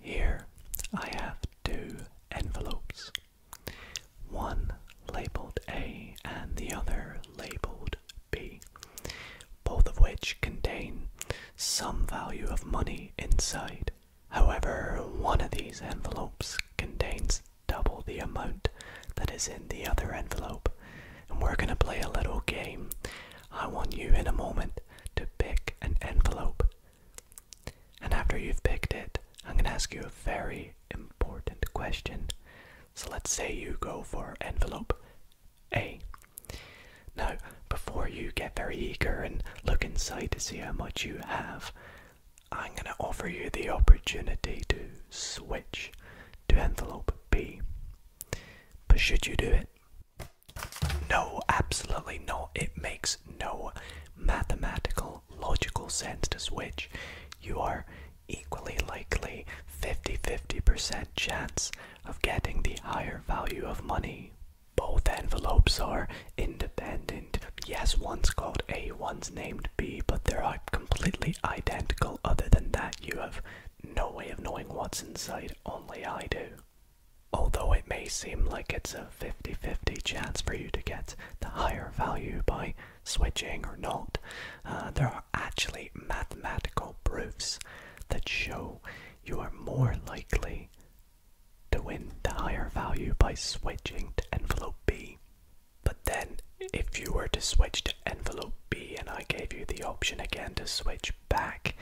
Here I have two envelopes, one labelled A and the other labelled B, both of which contain some value of money inside. However, one of these envelopes contains double the amount that is in the other envelope, and we're going to play a little game I want you in a moment to pick an envelope. And after you've picked it, I'm going to ask you a very important question. So let's say you go for envelope A. Now, before you get very eager and look inside to see how much you have, I'm going to offer you the opportunity to switch to envelope B. But should you do it, no, absolutely not. It makes no mathematical, logical sense to switch. You are equally likely 50 50% chance of getting the higher value of money. Both envelopes are independent. Yes, one's called A, one's named B, but they're completely identical. Other than that, you have no way of knowing what's inside, only I do. Although it may seem like it's a 50 50 chance for you to get the higher value by switching or not, uh, there are actually mathematical proofs that show you are more likely to win the higher value by switching to envelope B. But then, if you were to switch to envelope B and I gave you the option again to switch back,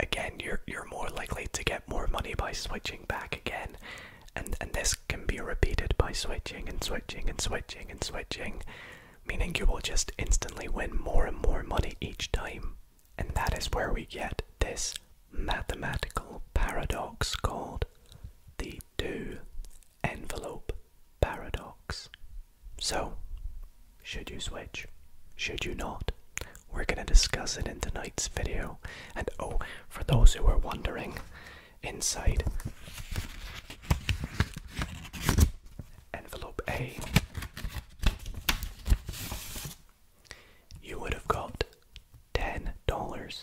again you're you're more likely to get more money by switching back again and and this can be repeated by switching and switching and switching and switching meaning you will just instantly win more and more money each time and that is where we get this mathematical paradox called the do envelope paradox so, should you switch? Should you not? We're going to discuss it in tonight's video. And oh, for those who are wondering, inside envelope A, you would have got $10.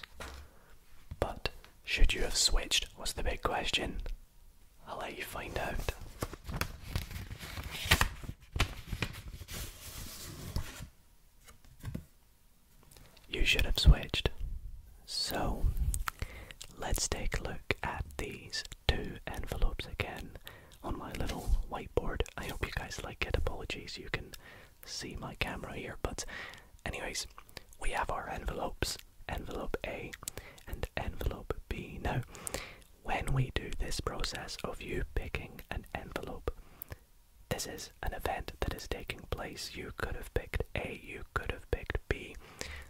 But should you have switched was the big question. I'll let you find out. You should have switched. So, let's take a look at these two envelopes again on my little whiteboard. I hope you guys like it. Apologies, you can see my camera here, but, anyways, we have our envelopes envelope A and envelope B. Now, when we do this process of you picking an envelope, this is an event that is taking place. You could have picked A, you could have picked B.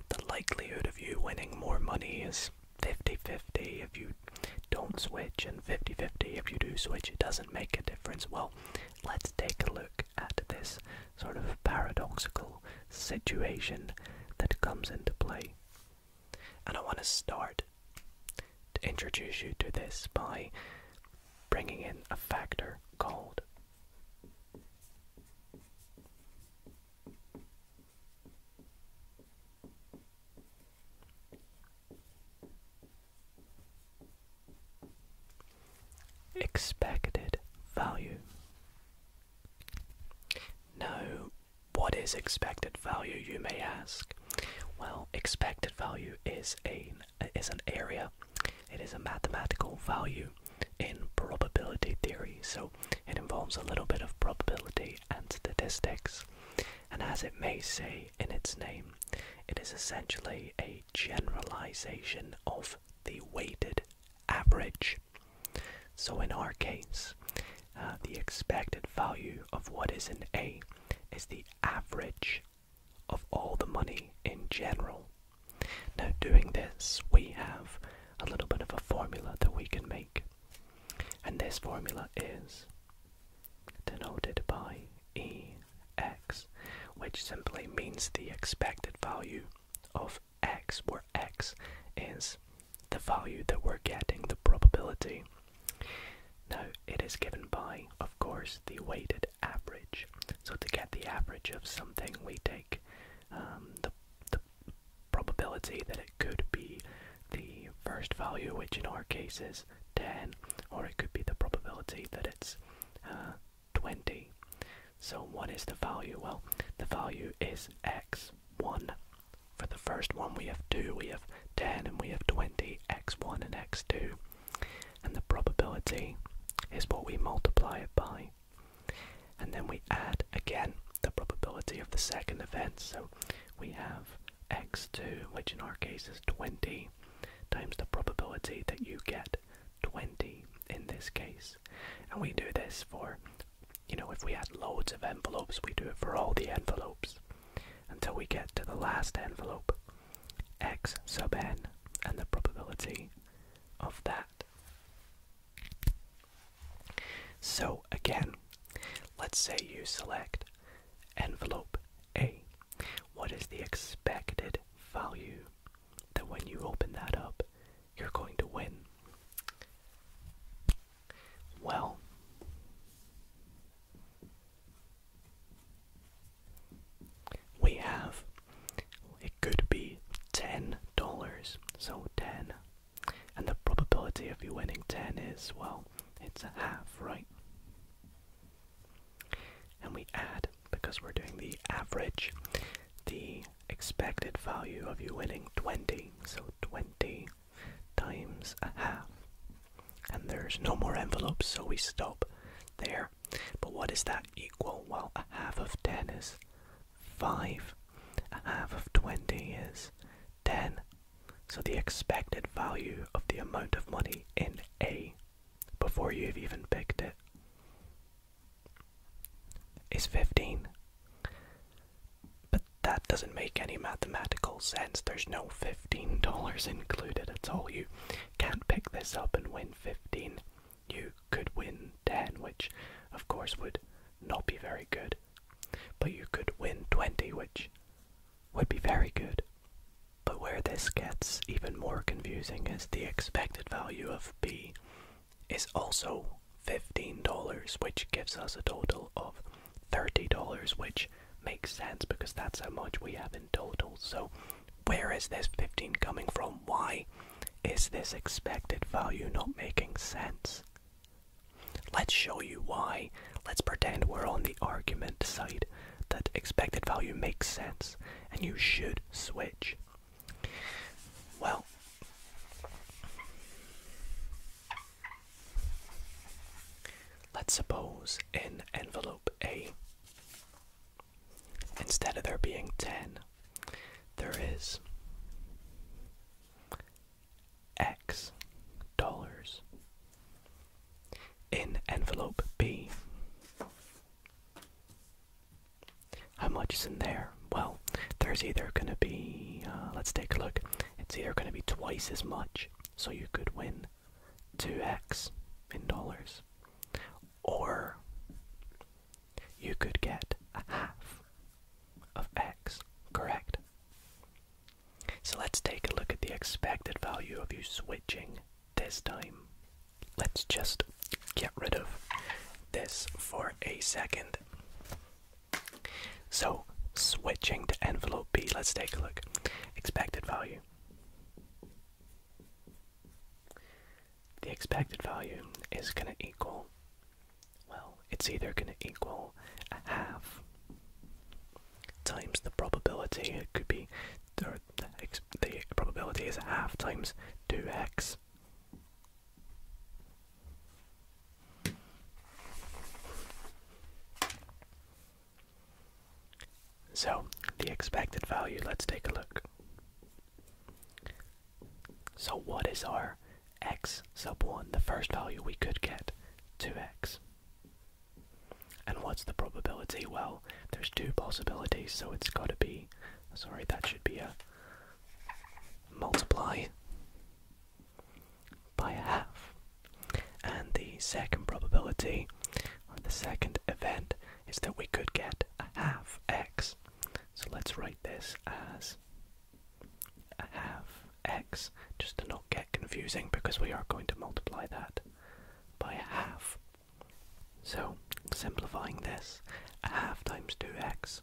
The likelihood of you winning more money is 50 50 if you don't switch, and 50 50 if you do switch. It doesn't make a difference. Well, let's take a look at this sort of paradoxical situation that comes into play. And I want to start to introduce you to this by bringing in a factor called expected value. Now, what is expected value, you may ask? Well, expected value is, a, is an area, it is a mathematical value in probability theory, so it involves a little bit of probability and statistics. And as it may say in its name, it is essentially a generalization of the weighted average. So in our case, uh, the expected value of what is in A is the average of all the money in general. Now doing this, we have a little bit of a formula that we can make. And this formula is denoted by EX, which simply means the expected value of X, where X is the value that we're getting, the probability. Now, it is given by, of course, the weighted average. So to get the average of something, we take um, the, probability that it could be the first value, which in our case is 10, or it could be the probability that it's uh, 20. So what is the value? Well, the value is x1 for the first one we have 2, we have 10 and we have 20, x1 and x2. And the probability is what we multiply it by. And then we add again the probability of the second event. So we have x2, which in our case is 20, times the probability that you get 20 in this case. And we do this for you know, if we had loads of envelopes, we do it for all the envelopes until we get to the last envelope, x sub n, and the probability of that. So again, let's say you select envelope A. What is the expected value that when you open that up, you're going to win? Well, we have it could be ten dollars, so ten, and the probability of you winning ten is well, it's a half, right? And we add because we're doing the average, the expected value of you winning 20, so 20 times a half. And there's no more envelopes, so we stop there. But what is that equal? Well, a half of 10 is 5, a half of 20 is 10. So the expected value of the amount of money in A, before you've even picked it, is 15. But that doesn't make any mathematical sense. There's no $15 included at all. You can't pick this up and win 15. You could win 10, which of course would not be very good. But you could win 20, which would be very good. But where this gets even more confusing is the expected value of b is also $15, which gives us a total of $30, which makes sense because that's how much we have in total. So, where is this 15 coming from? Why is this expected value not making sense? Let's show you why. Let's pretend we're on the argument side that expected value makes sense and you should switch. Well, Let's suppose in envelope A, instead of there being 10, there is X dollars. In envelope B, how much is in there? well, there's either going to be, uh, let's take a look, it's either going to be twice as much, so you could win 2x in dollars, or you could get a half of x, correct? So let's take a look at the expected value of you switching this time. Let's just get rid of this for a second. So, switching to envelope B, let's take a look. Expected value. The expected value is going to equal, well, it's either going to equal a half times the probability, it could be, or the, probability is half times 2x so, the expected value, let's take a look. So, what is our x sub 1? The first value we could get to x And what's the probability? Well, there's two possibilities, so it's got to be. Sorry, that should be a multiply by a half. And the second probability, or the second event, is that we could get a half x. So let's write this as a half x, just to not get confusing because we are going to multiply that by a half. So simplifying this, half times 2x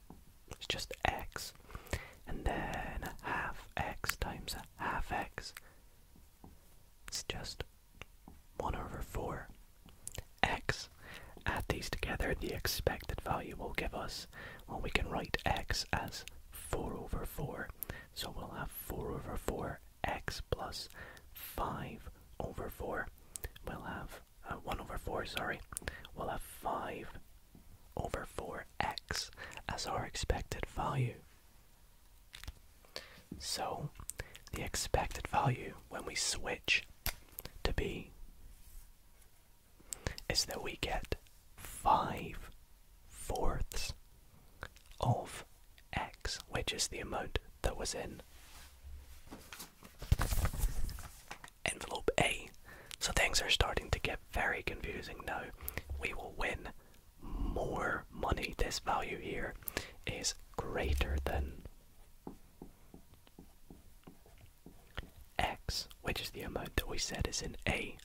it's just x. And then half x times a half x. It's just 1 over 4 x. Add these together, the expected value will give us, well, we can write x as 4 over 4. So we'll have 4 over 4 x plus 5 over 4. We'll have uh, 1 over 4, sorry. We'll have 5 over 4x as our expected value. So, the expected value when we switch to b is that we get 5 fourths of x, which is the amount that was in envelope A. So things are starting to get very confusing now. We will win more money. This value here is greater than x, which is the amount that we said is in A.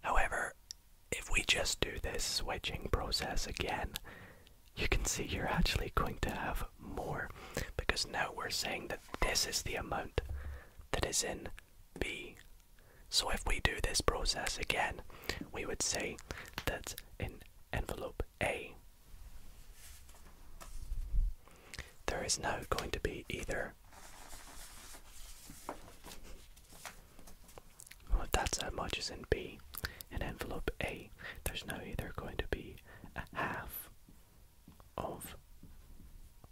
However, if we just do this switching process again, you can see you're actually going to have more because now we're saying that this is the amount that is in B. So if we do this process again, we would say that in envelope A, there is no going to be either. Well, if that's how much is in B, in envelope A, there's no either going to be a half of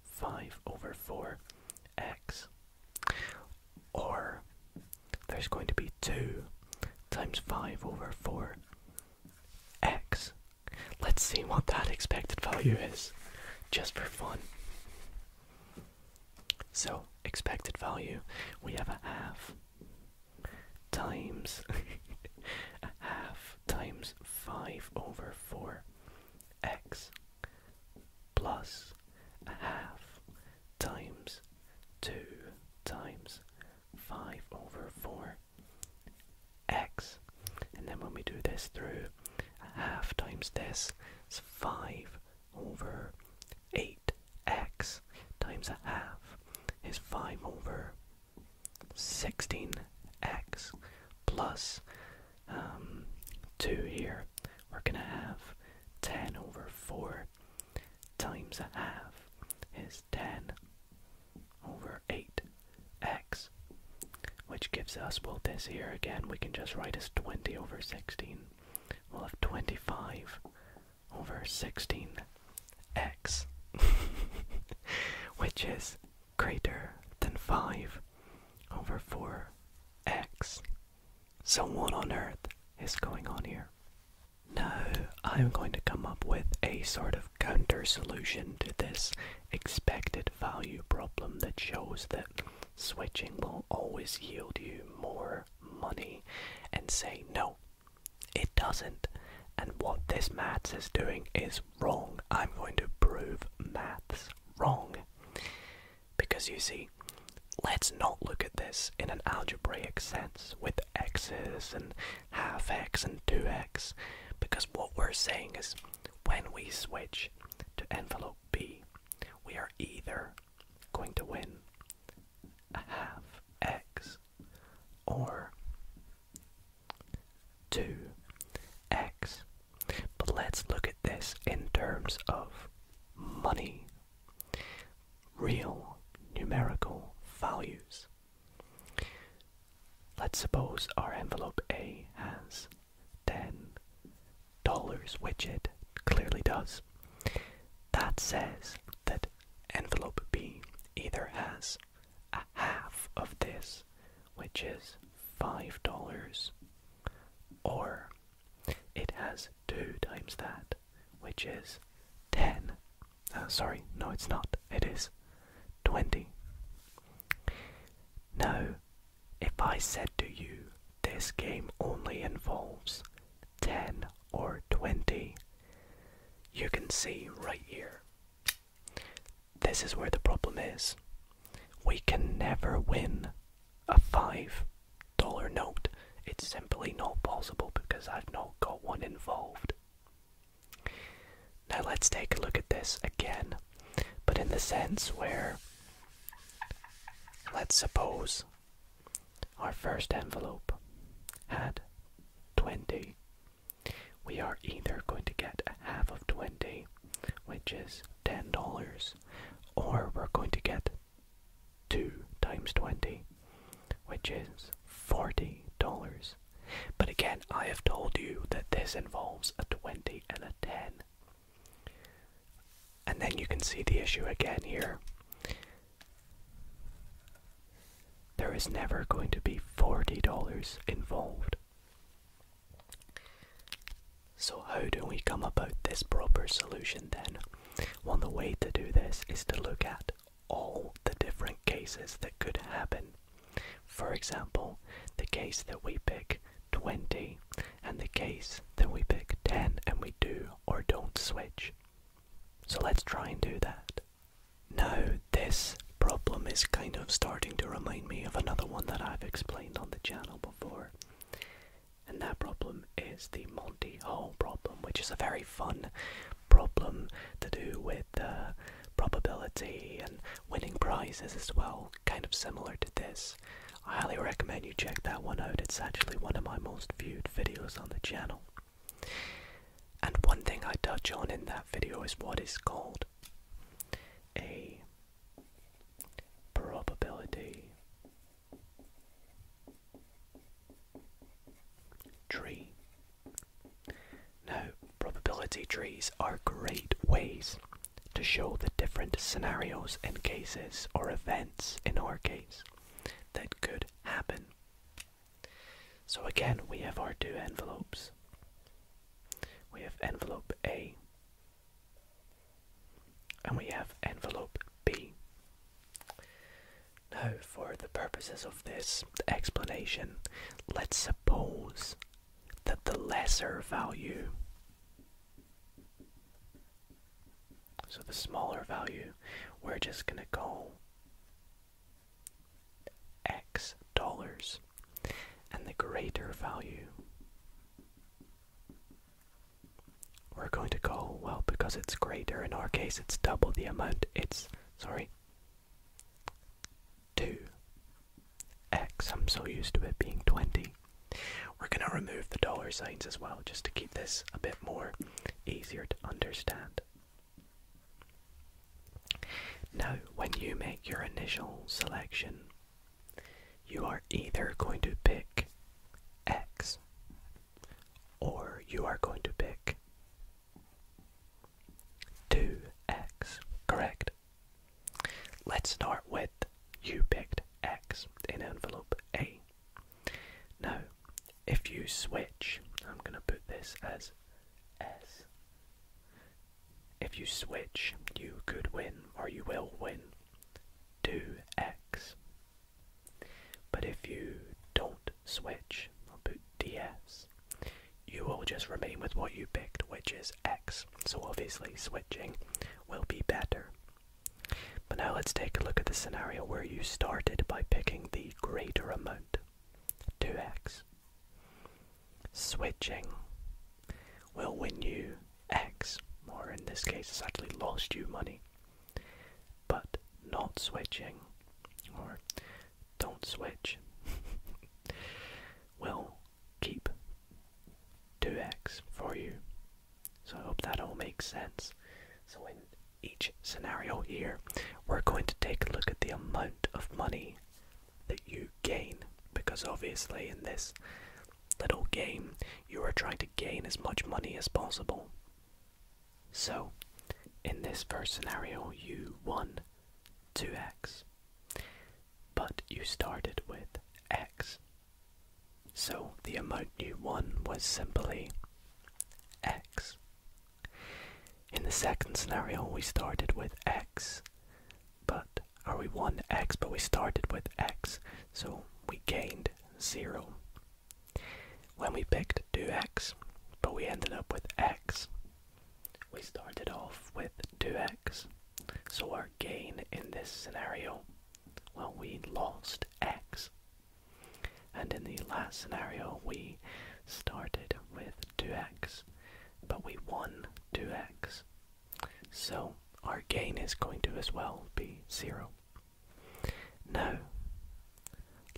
5 over 4x. Or there's going to be 2 times 5 over 4x. Let's see what that expected value is, just for fun. So, expected value, we have a half times a half times 5 over 4x plus half times 2 times 5 over 4 x and then when we do this through half times this is 5 over 8x times a half is 5 over 16x um, 2 here. We're going to have 10 over 4 times a half is 10 over 8x, which gives us, well, this here again, we can just write as 20 over 16. well, 25 over 16x, which is greater than 5 over 4x. So, what on earth is going on here? Now, I'm going to come up with a sort of counter solution to this expected value problem that shows that switching will always yield you more money and say no, it doesn't. And what this maths is doing is wrong. I'm going to prove maths wrong. Because you see, let's not look at this in an algebraic sense with x's and half x and 2x, because what we're saying is when we switch to envelope B, we are either going to win a half x or 2x. But let's look at this in terms of money. Real numerical values. Let's suppose our envelope A has $10, which it clearly does. That says that envelope B either has a half of this, which is $5, or it has 2 times that, which is 10. Uh, sorry, no, it's not. It is 20. Now, if I said to you, this game only involves 10 or 20, you can see right here this is where the problem is. We can never win a $5 note. It's simply not possible because I've not got one involved. Now let's take a look at this again, but in the sense where let's suppose our first envelope had 20 we are either going to get half of 20, which is $10, or we're going to get 2 times 20, which is $40. But again, I have told you that this involves a 20 and a 10. And then you can see the issue again here. There is never going to be $40 involved. So, how do we come about this proper solution then? One well, the way to do this is to look at all the different cases that could happen. For example, the case that we pick 20 and the case that we pick 10 and we do or don't switch. So let's try and do that. Now, this problem is kind of starting to remind me of another one that I've explained on the channel before. And that problem is the Monty Hall problem, which is a very fun problem to do with uh, probability and winning prizes as well, kind of similar to this. I highly recommend you check that one out, it's actually one of my most viewed videos on the channel. And one thing I touch on in that video is what is called a probability tree. Now, probability trees are great ways to show the different scenarios and cases or events in our case that could happen. So again, we have our two envelopes. We have envelope A and we have envelope B. Now, for the purposes of this explanation, let's suppose that the lesser value, so the smaller value, we're just going to go. X dollars, and the greater value we're going to call, well, because it's greater, in our case it's double the amount, it's, sorry, 2x, I'm so used to it being 20. We're going to remove the dollar signs as well, just to keep this a bit more easier to understand. Now, when you make your initial selection, you are either going to pick X or you are going to pick 2X, correct? Let's start with you picked X in envelope A. Now, if you switch, I'm going to put this as S. If you switch, you could win or you will win 2x. But if you don't switch, I'll put DS, you will just remain with what you picked, which is x. So obviously switching will be better. But now let's take a look at the scenario where you started by picking the greater amount. 2x. Switching will win you x, or in this case, it's actually lost you money. But not switching, or don't switch, will keep 2x for you. So I hope that all makes sense. So in each scenario here, we're going to take a look at the amount of money that you gain because obviously in this little game you are trying to gain as much money as possible. So in this first scenario you won 2x but you started with x. So the amount you won was simply x. In the second scenario, we started with x, but or we won x, but we started with x, so we gained 0. When we picked 2x, but we ended up with x, we started off with 2x, so our gain in this scenario, well, we lost x. And in the last scenario, we started with 2x, but we won 2x. So our gain is going to as well be 0. Now,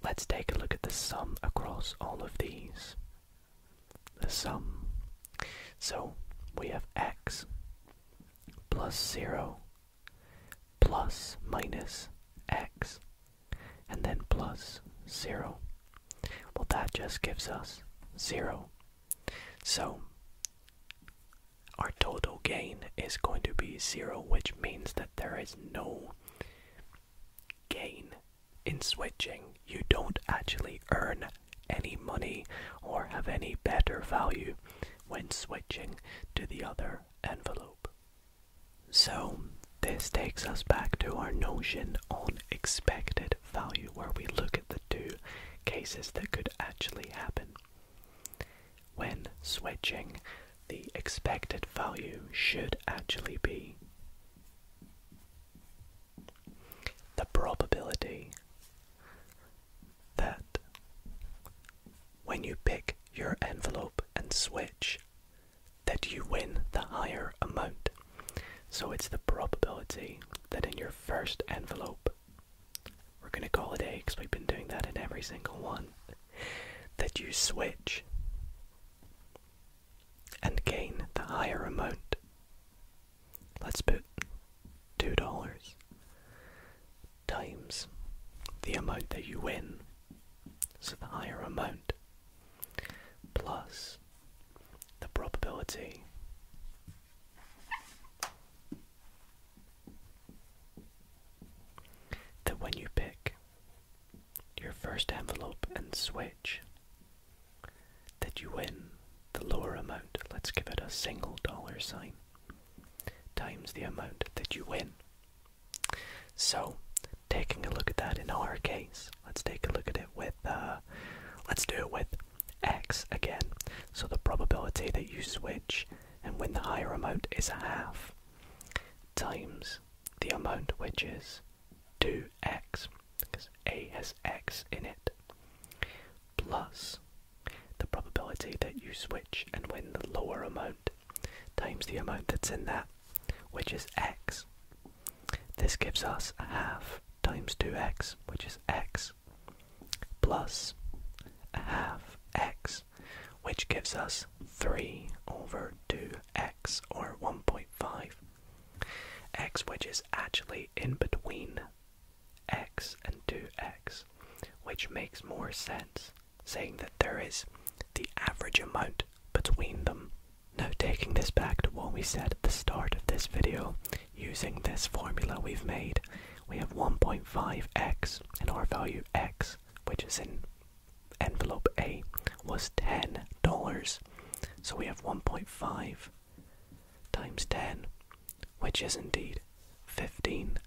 let's take a look at the sum across all of these. The sum. So we have x plus 0 plus minus x and then plus 0. Well, that just gives us 0. So, our total gain is going to be 0, which means that there is no gain in switching. You don't actually earn any money or have any better value when switching to the other envelope. So, this takes us back to our notion on expected value, where we look at the two cases that could actually happen. When switching, the expected value should actually be the probability that when you pick your envelope and switch, that you win the higher amount. So it's the probability that in your first envelope, we're going to call it A because we've been doing that in every single one, that you switch and gain the higher amount. Let's put $2 times the amount that you win. So the higher amount plus the probability that when you pick your first envelope and switch, that you win the lower amount, let's give it a single dollar sign, times the amount that you win so, taking a look at that in our case, let's take a look at it with, uh, let's do it with x again. So the probability that you switch and win the higher amount is a half times the amount which is 2x, because a has x in it, plus the probability that you switch and win the lower amount times the amount that's in that which is x. This gives us half times 2x, which is x, plus half x, which gives us 3 over 2x, or 1.5. x, which is actually in between x and 2x, which makes more sense, saying that there is the average amount between them now, taking this back to what we said at the start of this video, using this formula we've made, we have 1.5x and our value x, which is in envelope A, was $10. So we have 1.5 times 10, which is indeed 15,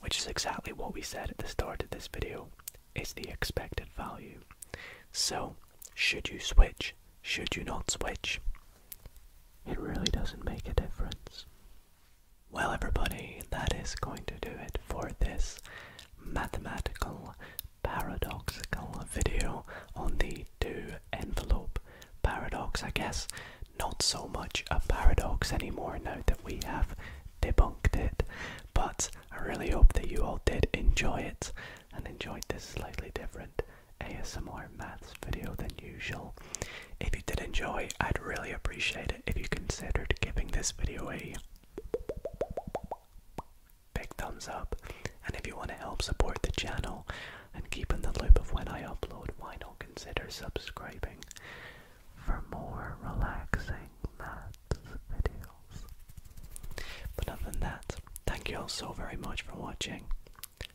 which is exactly what we said at the start of this video is the expected value. So, should you switch? Should you not switch? It really doesn't make a difference. Well, everybody, that is going to do it for this mathematical paradoxical video on the do envelope paradox. I guess not so much a paradox anymore now that we have debunked it, but I really hope that you all did enjoy it and enjoyed this slightly different ASMR maths video than usual. If you did enjoy, I'd really appreciate it if you considered giving this video a big thumbs up. And if you want to help support the channel and keep in the loop of when I upload, why not consider subscribing for more relaxing maths but other than that, thank you all so very much for watching.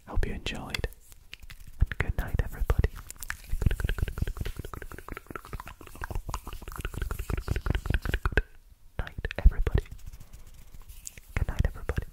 Hope you enjoyed. good night, everybody. Night, everybody. Good night, everybody.